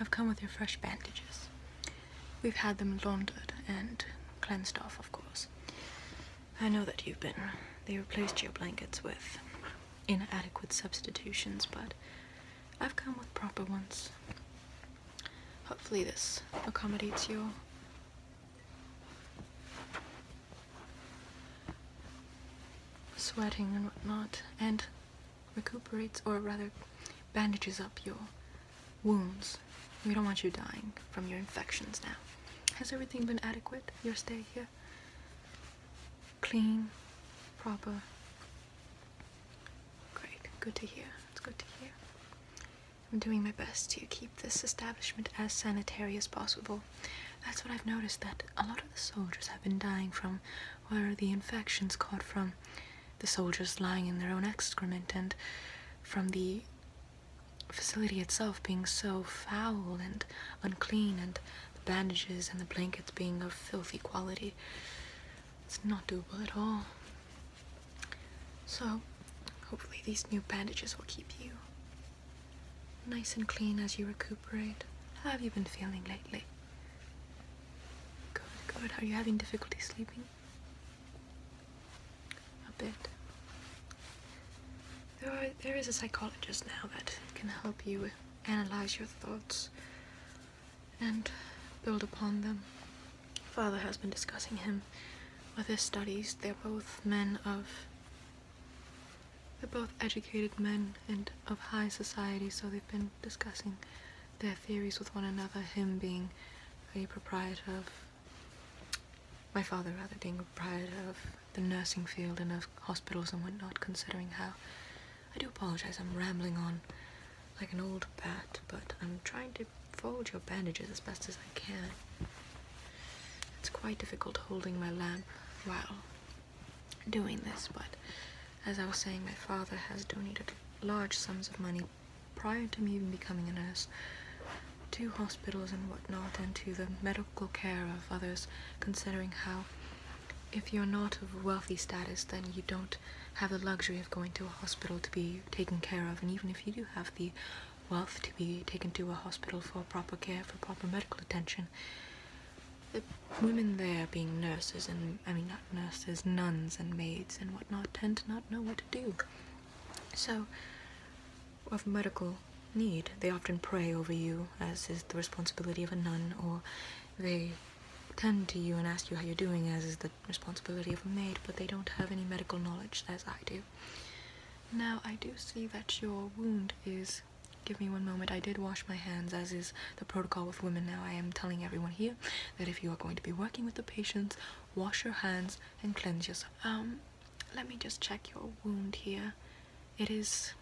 I've come with your fresh bandages. We've had them laundered and cleansed off, of course. I know that you've been. They replaced your blankets with inadequate substitutions, but I've come with proper ones. Hopefully this accommodates you sweating and whatnot, and recuperates, or rather, bandages up your wounds. We don't want you dying from your infections now. Has everything been adequate, your stay here? Clean, proper. Great, good to hear. It's good to hear. I'm doing my best to keep this establishment as sanitary as possible. That's what I've noticed that a lot of the soldiers have been dying from, where the infections caught from the soldiers lying in their own excrement and from the facility itself being so foul and unclean and the bandages and the blankets being of filthy quality. It's not doable at all. So, Hopefully, these new bandages will keep you nice and clean as you recuperate. How have you been feeling lately? Good, good. Are you having difficulty sleeping? A bit. there is a psychologist now that can help you analyze your thoughts and build upon them. Father has been discussing him with his studies. They're both men of they're both educated men and of high society, so they've been discussing their theories with one another, him being a proprietor of my father rather being a proprietor of the nursing field and of hospitals and whatnot, considering how I do apologize, I'm rambling on like an old bat, but I'm trying to fold your bandages as best as I can. It's quite difficult holding my lamp while doing this, but as I was saying, my father has donated large sums of money prior to me even becoming a nurse to hospitals and whatnot and to the medical care of others, considering how if you're not of wealthy status, then you don't have the luxury of going to a hospital to be taken care of. And even if you do have the wealth to be taken to a hospital for proper care, for proper medical attention. The women there, being nurses and I mean, not nurses, nuns and maids and whatnot, tend to not know what to do. So, of medical need, they often pray over you, as is the responsibility of a nun, or they tend to you and ask you how you're doing, as is the responsibility of a maid, but they don't have any medical knowledge as I do. Now I do see that your wound is. Give me one moment. I did wash my hands, as is the protocol with women now. I am telling everyone here that if you are going to be working with the patients, wash your hands and cleanse yourself. Um, let me just check your wound here. It is.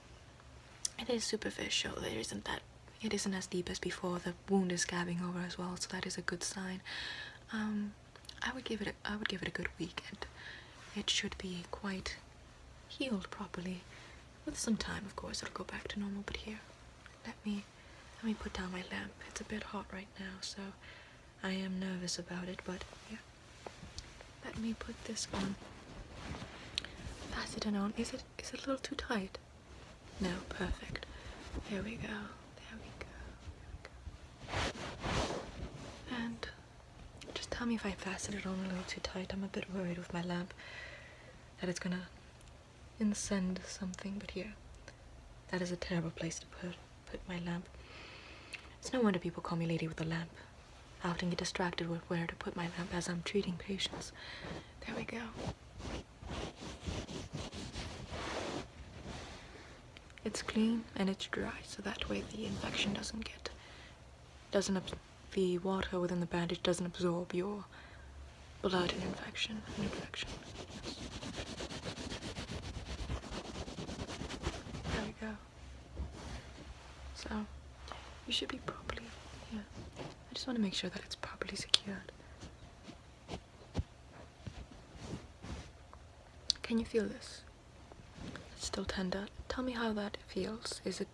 It is superficial. It isn't that. It isn't as deep as before. The wound is scabbing over as well, so that is a good sign. Um, I would give it a, I would give it a good weekend. it should be quite healed properly. With some time of course it'll go back to normal but here let me let me put down my lamp. It's a bit hot right now so I am nervous about it but yeah. Let me put this on. Pass on. Is it is it a little too tight? No, perfect. Here we go. There we go. There we go. And just tell me if I fastened it on a little too tight. I'm a bit worried with my lamp that it's gonna incend something, but here, that is a terrible place to put, put my lamp. It's no wonder people call me lady with a lamp. I often get distracted with where to put my lamp as I'm treating patients. There we go. It's clean and it's dry, so that way the infection doesn't get, doesn't, the water within the bandage doesn't absorb your blood and infection, and infection. There we go. So, you should be properly, yeah. I just want to make sure that it's properly secured. Can you feel this? It's still tender. Tell me how that feels. Is it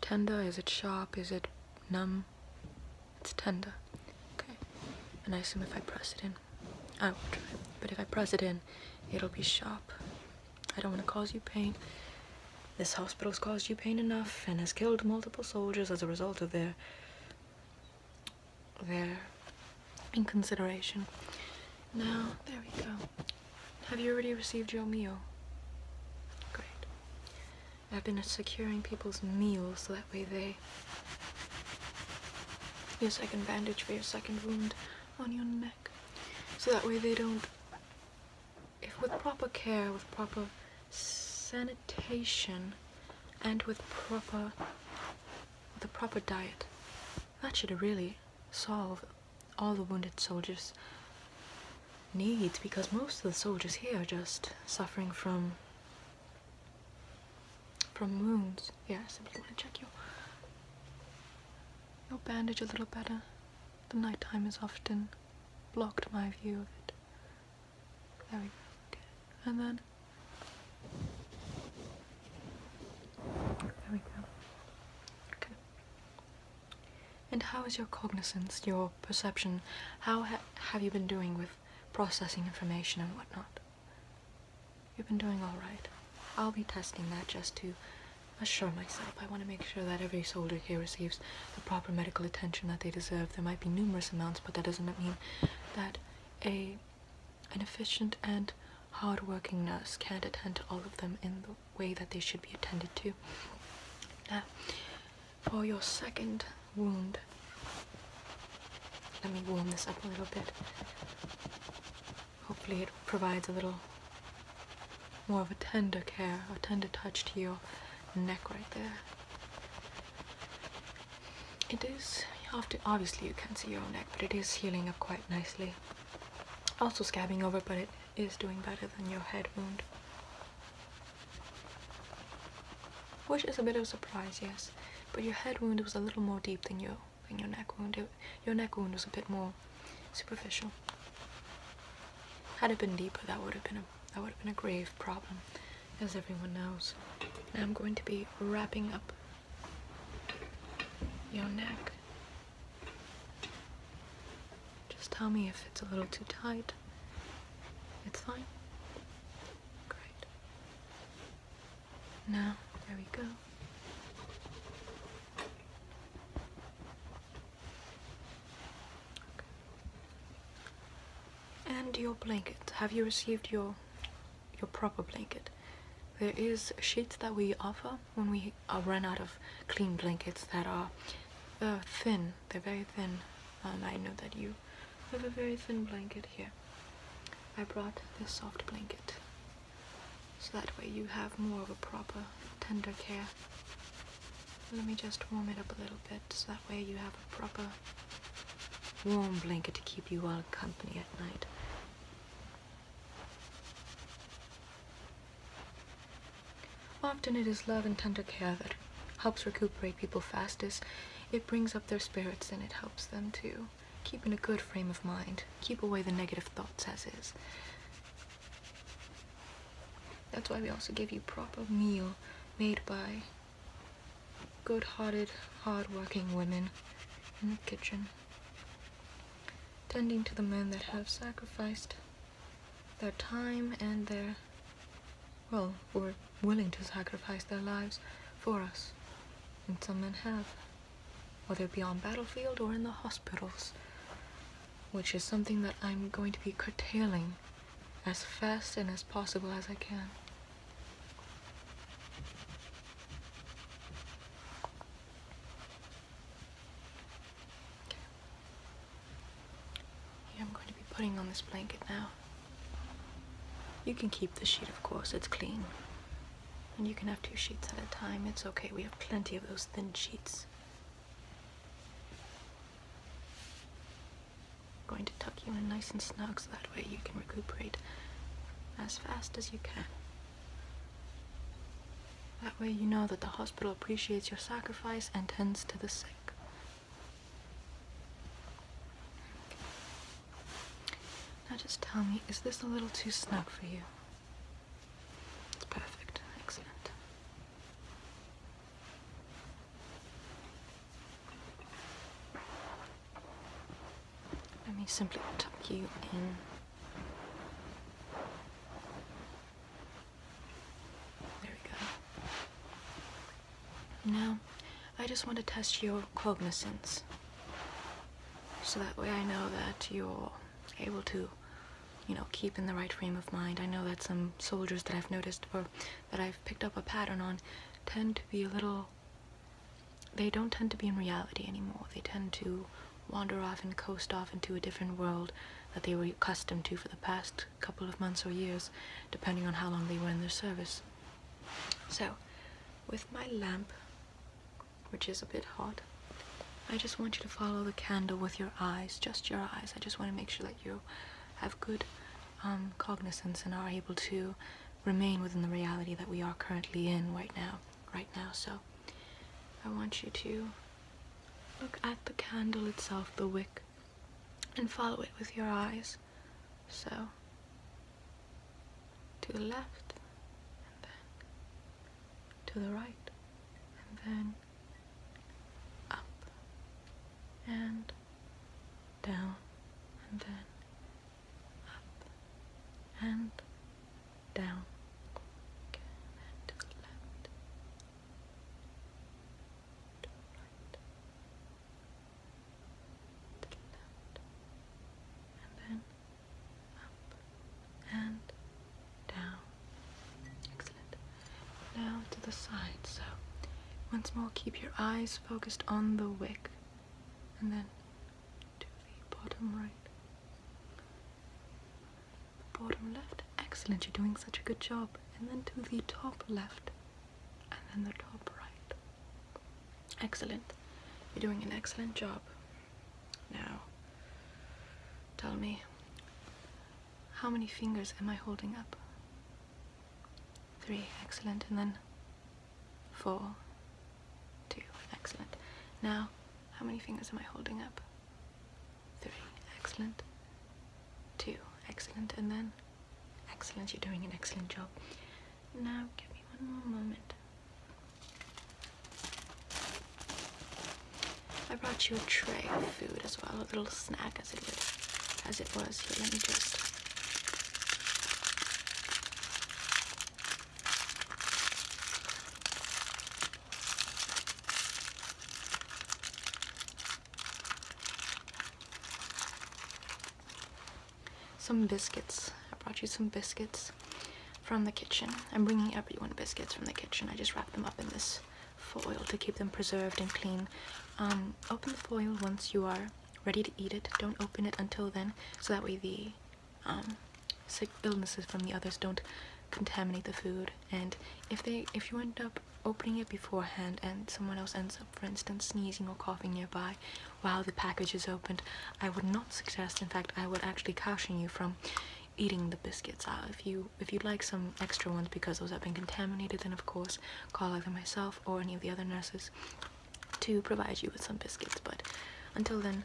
tender? Is it sharp? Is it numb? It's tender. Okay. And I assume if I press it in, I will try. But if I press it in, it'll be sharp. I don't want to cause you pain. This hospital's caused you pain enough and has killed multiple soldiers as a result of their there in consideration. Now, there we go. Have you already received your meal? Great. I've been securing people's meals so that way they... Your second bandage for your second wound on your neck. So that way they don't... If with proper care, with proper sanitation, and with proper... with a proper diet, that should really solve all the wounded soldiers' needs because most of the soldiers here are just suffering from from wounds. Yeah, I simply want to check you. Your bandage a little better. The night time has often blocked my view of it. There we go. And then there we go. Okay. And how is your cognizance, your perception? How have you been doing with processing information and whatnot? You've been doing all right. I'll be testing that just to assure myself. I want to make sure that every soldier here receives the proper medical attention that they deserve. There might be numerous amounts, but that doesn't mean that a an efficient and hardworking nurse can not attend to all of them in the way that they should be attended to. Now, for your second wound, let me warm this up a little bit. Hopefully, it provides a little more of a tender care, a tender touch to your neck right there. It is, after obviously you can not see your own neck, but it is healing up quite nicely also scabbing over, but it is doing better than your head wound. Which is a bit of a surprise, yes. But your head wound was a little more deep than your than your neck wound. your neck wound was a bit more superficial. Had it been deeper, that would have been a that would have been a grave problem, as everyone knows. Now I'm going to be wrapping up your neck. Just tell me if it's a little too tight. It's fine. Great. Now, there we go. And your blanket. Have you received your your proper blanket. There is sheets that we offer when we uh, run out of clean blankets that are uh, thin. They're very thin. Um, I know that you have a very thin blanket here. I brought this soft blanket. So that way you have more of a proper tender care. Let me just warm it up a little bit so that way you have a proper warm blanket to keep you all company at night. Often it is love and tender care that helps recuperate people fastest. It brings up their spirits and it helps them to keep in a good frame of mind, keep away the negative thoughts as is. That's why we also give you proper meal made by good-hearted, hard-working women in the kitchen tending to the men that have sacrificed their time and their, well, or willing to sacrifice their lives for us. And some men have, whether it be on battlefield or in the hospitals, which is something that I'm going to be curtailing as fast and as possible as I can. I'm going to be putting on this blanket now. You can keep the sheet, of course, it's clean. And you can have two sheets at a time, it's okay. We have plenty of those thin sheets. I'm going to tuck you in nice and snug so that way you can recuperate as fast as you can. That way you know that the hospital appreciates your sacrifice and tends to the sick. Now just tell me, is this a little too snug for you? It's perfect. Excellent. Let me simply tuck you in. There we go. Now, I just want to test your cognizance. So that way I know that you're able to, you know, keep in the right frame of mind. I know that some soldiers that I've noticed or that I've picked up a pattern on tend to be a little they don't tend to be in reality anymore. They tend to wander off and coast off into a different world that they were accustomed to for the past couple of months or years, depending on how long they were in their service. So, with my lamp, which is a bit hot, I just want you to follow the candle with your eyes, just your eyes. I just want to make sure that you have good um, cognizance and are able to remain within the reality that we are currently in right now, right now. So I want you to look at the candle itself, the wick, and follow it with your eyes. So to the left, and then to the right, and then up and down and then up and down, okay, and to the left, to the right, to the left, and then up and down. Excellent. Now to the side. So, once more, keep your eyes focused on the wick and then to the bottom right. bottom left. Excellent, you're doing such a good job. And then to the top left. And then the top right. Excellent. You're doing an excellent job. Now, tell me, how many fingers am I holding up? Three. Excellent. And then four, two. Excellent. Now, how many fingers am I holding up? Three. Excellent. Two. Excellent. And then, excellent. You're doing an excellent job. Now, give me one more moment. I brought you a tray of food as well, a little snack as it was. Here, let me just some biscuits. I brought you some biscuits from the kitchen. I'm bringing everyone biscuits from the kitchen. I just wrap them up in this foil to keep them preserved and clean. Um, open the foil once you are ready to eat it. Don't open it until then so that way the um, sick illnesses from the others don't contaminate the food and if they if you end up opening it beforehand and someone else ends up for instance sneezing or coughing nearby while the package is opened i would not suggest in fact i would actually caution you from eating the biscuits out uh, if you if you'd like some extra ones because those have been contaminated then of course call either myself or any of the other nurses to provide you with some biscuits but until then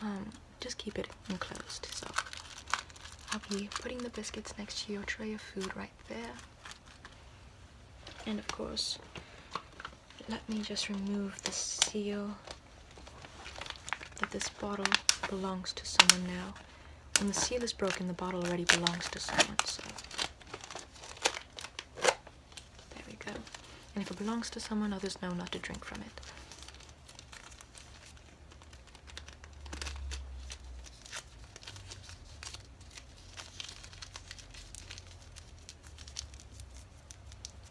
um, just keep it enclosed. So I'll be putting the biscuits next to your tray of food right there. And of course, let me just remove the seal that this bottle belongs to someone now. When the seal is broken, the bottle already belongs to someone, so there we go. And if it belongs to someone, others know not to drink from it.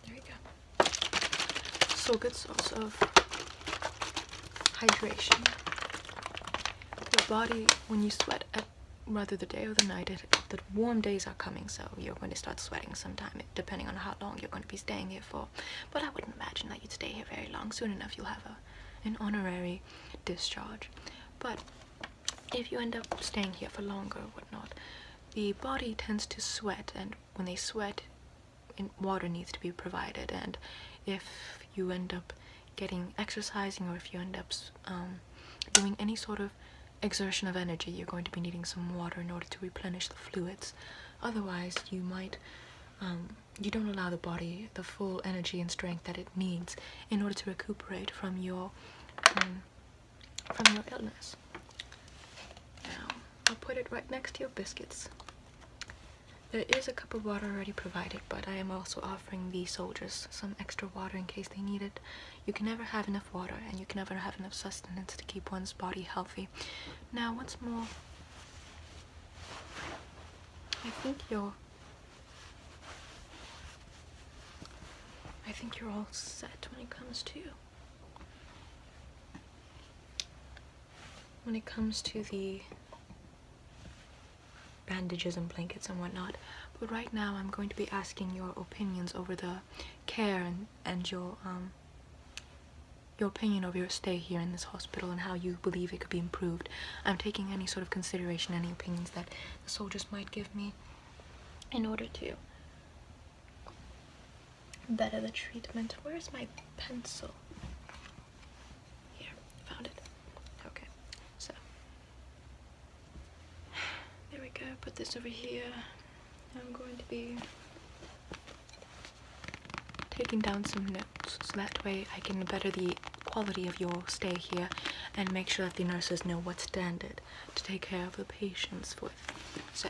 There we go. So good source of hydration. Your body, when you sweat at rather the day or the night, that warm days are coming, so you're going to start sweating sometime depending on how long you're going to be staying here for. But I wouldn't imagine that you'd stay here very long. Soon enough, you'll have a, an honorary discharge. But if you end up staying here for longer or whatnot, the body tends to sweat, and when they sweat, water needs to be provided. And if you end up getting exercising or if you end up um, doing any sort of exertion of energy. You're going to be needing some water in order to replenish the fluids. Otherwise, you might um, you don't allow the body the full energy and strength that it needs in order to recuperate from your um, from your illness. Now, I'll put it right next to your biscuits. There is a cup of water already provided, but I am also offering the soldiers some extra water in case they need it. You can never have enough water and you can never have enough sustenance to keep one's body healthy. Now, what's more, I think you're. I think you're all set when it comes to. When it comes to the bandages and blankets and whatnot. But right now, I'm going to be asking your opinions over the care and, and your um, your opinion of your stay here in this hospital and how you believe it could be improved. I'm taking any sort of consideration, any opinions that the soldiers might give me in order to better the treatment. Where's my pencil? Here, found it. Okay, so there we go. Put this over here. I'm going to be taking down some notes so that way I can better the quality of your stay here and make sure that the nurses know what standard to take care of the patients with. So,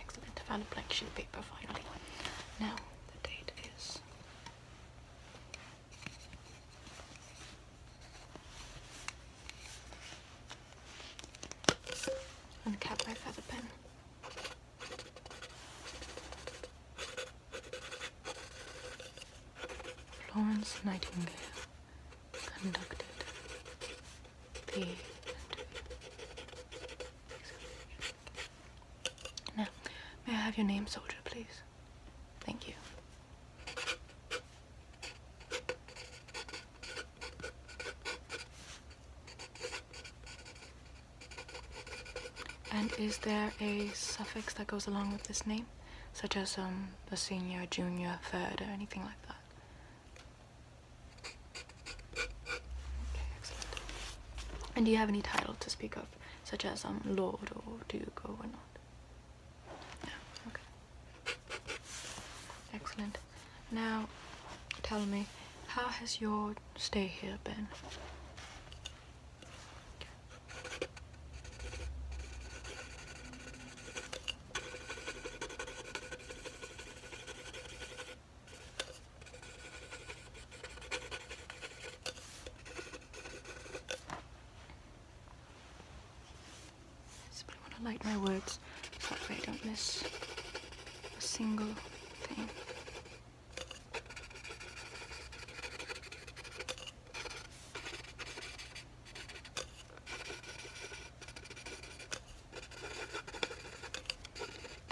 Excellent, I found a blank sheet of paper finally. Now the date is and cap my feather pen. Florence Nightingale conducted the Now, may I have your name, soldier, please? Thank you. And is there a suffix that goes along with this name? Such as um, the senior, junior, third, or anything like that? Okay, excellent. And do you have any title to speak of? Such as um, Lord or Duke or whatnot? No, okay. Excellent. Now, tell me, how has your stay here been? I simply want to light my words results. Hopefully I don't miss a single thing.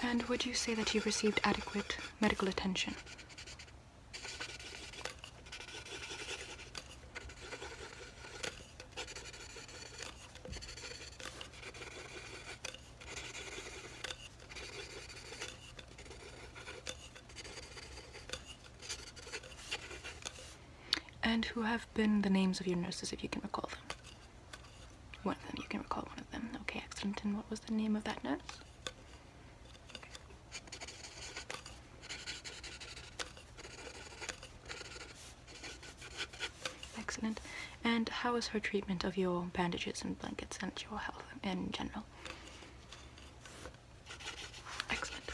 And would you say that you received adequate medical attention? And who have been the names of your nurses, if you can recall them? One of them, you can recall one of them. Okay, excellent. And what was the name of that nurse? Excellent. And how is her treatment of your bandages and blankets and your health in general? Excellent.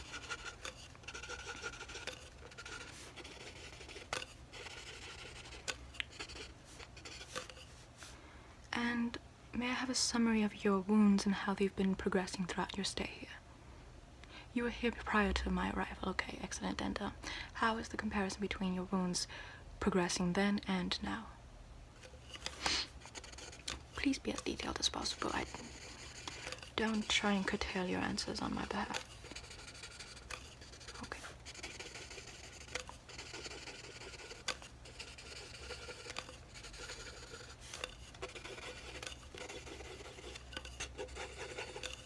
And may I have a summary of your wounds and how they've been progressing throughout your stay here? You were here prior to my arrival. Okay, excellent. And uh, how is the comparison between your wounds progressing then and now? Please be as detailed as possible. don't try and curtail your answers on my behalf. Okay.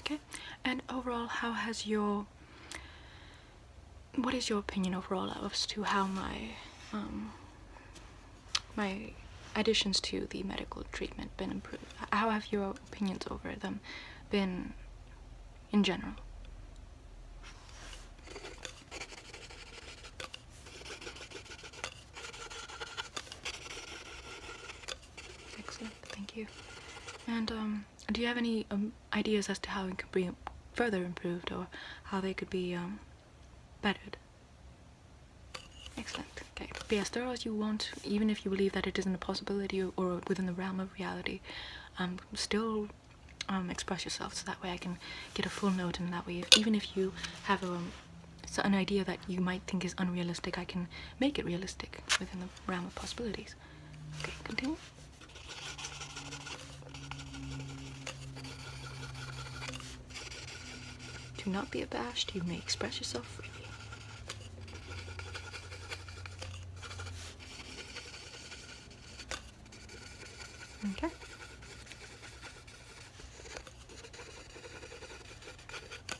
Okay, and overall, how has your what is your opinion overall as to how my um, my additions to the medical treatment been improved? How have your opinions over them been in general? Excellent, thank you. And um, do you have any um, ideas as to how it could be further improved or how they could be um, bettered? Excellent. Okay. Be as thorough as you want, even if you believe that it isn't a possibility or within the realm of reality. still express yourself so that way I can get a full note and that way even if you have a, an idea that you might think is unrealistic, I can make it realistic within the the realm of possibilities. continue. Do not be abashed, you may express yourself freely. Okay.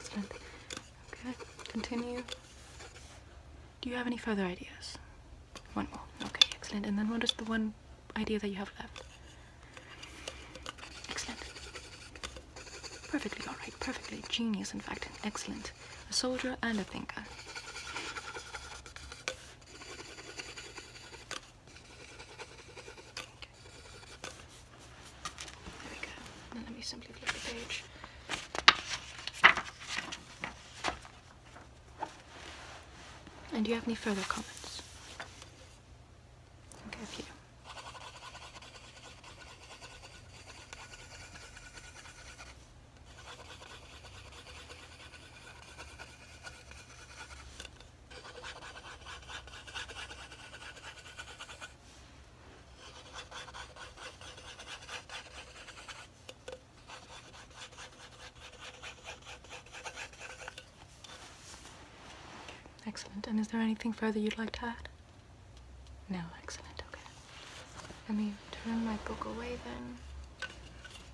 Excellent. Okay, continue. Do you have any further ideas? One more. Okay, excellent. And then what is the one idea that you have left? Excellent. Perfectly alright, perfectly. Genius, in fact. Excellent. A soldier and a thinker. There we go. And let me simply flip the page. And do you have any further comments? Okay, a few. Excellent. And is there anything further you'd like to add? No, excellent. Okay. Let me turn my book away then.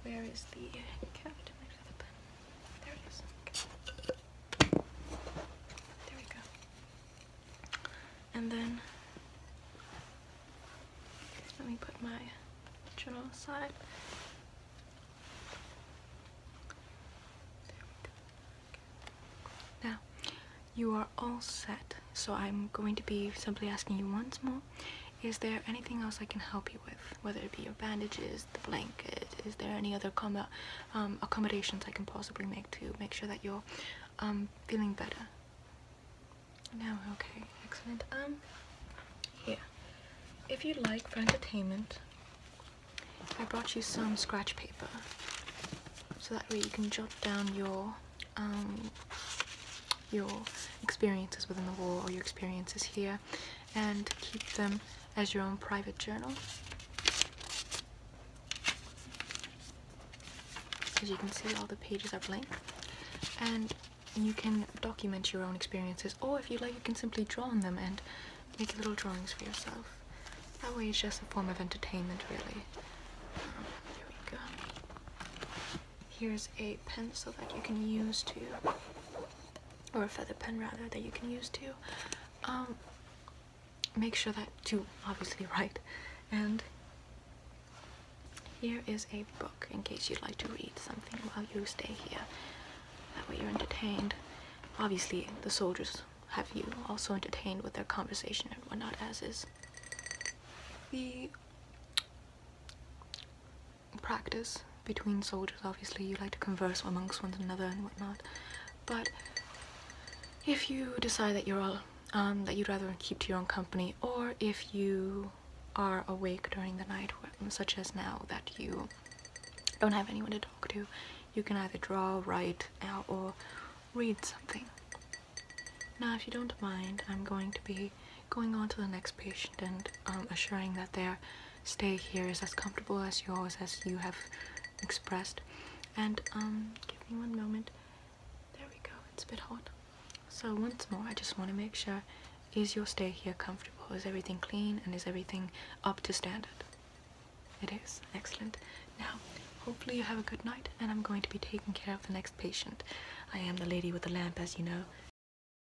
Where is the captain? There it is. There we go. And then let me put my journal aside. Now, you are all set, so I'm going to be simply asking you once more is there anything else I can help you with? Whether it be your bandages, the blanket, is there any other um, accommodations I can possibly make to make sure that you're um, feeling better? No, okay, excellent. Um, here, if you'd like for entertainment, I brought you some scratch paper so that way you can jot down your um, your experiences within the war or your experiences here and keep them as your own private journal. As you can see, all the pages are blank. And you can document your own experiences, or if you like, you can simply draw on them and make little drawings for yourself. That way, it's just a form of entertainment, really. Uh, here we go. Here's a pencil that you can use to or a feather pen rather that you can use to um, make sure that you obviously write. And here is a book in case you'd like to read something while you stay here. That way you're entertained. Obviously, the soldiers have you also entertained with their conversation and whatnot, as is the practice between soldiers obviously you like to converse amongst one another and whatnot but if you decide that you're all um, that you'd rather keep to your own company or if you are awake during the night such as now that you don't have anyone to talk to you can either draw write uh, or read something now if you don't mind I'm going to be going on to the next patient and um, assuring that their stay here is as comfortable as yours as you have expressed. And um, give me one moment. There we go. It's a bit hot. So once more, I just want to make sure: is your stay here comfortable? Is everything clean? And is everything up to standard? It is excellent. Now, hopefully you have a good night, and I'm going to be taking care of the next patient. I am the lady with the lamp, as you know.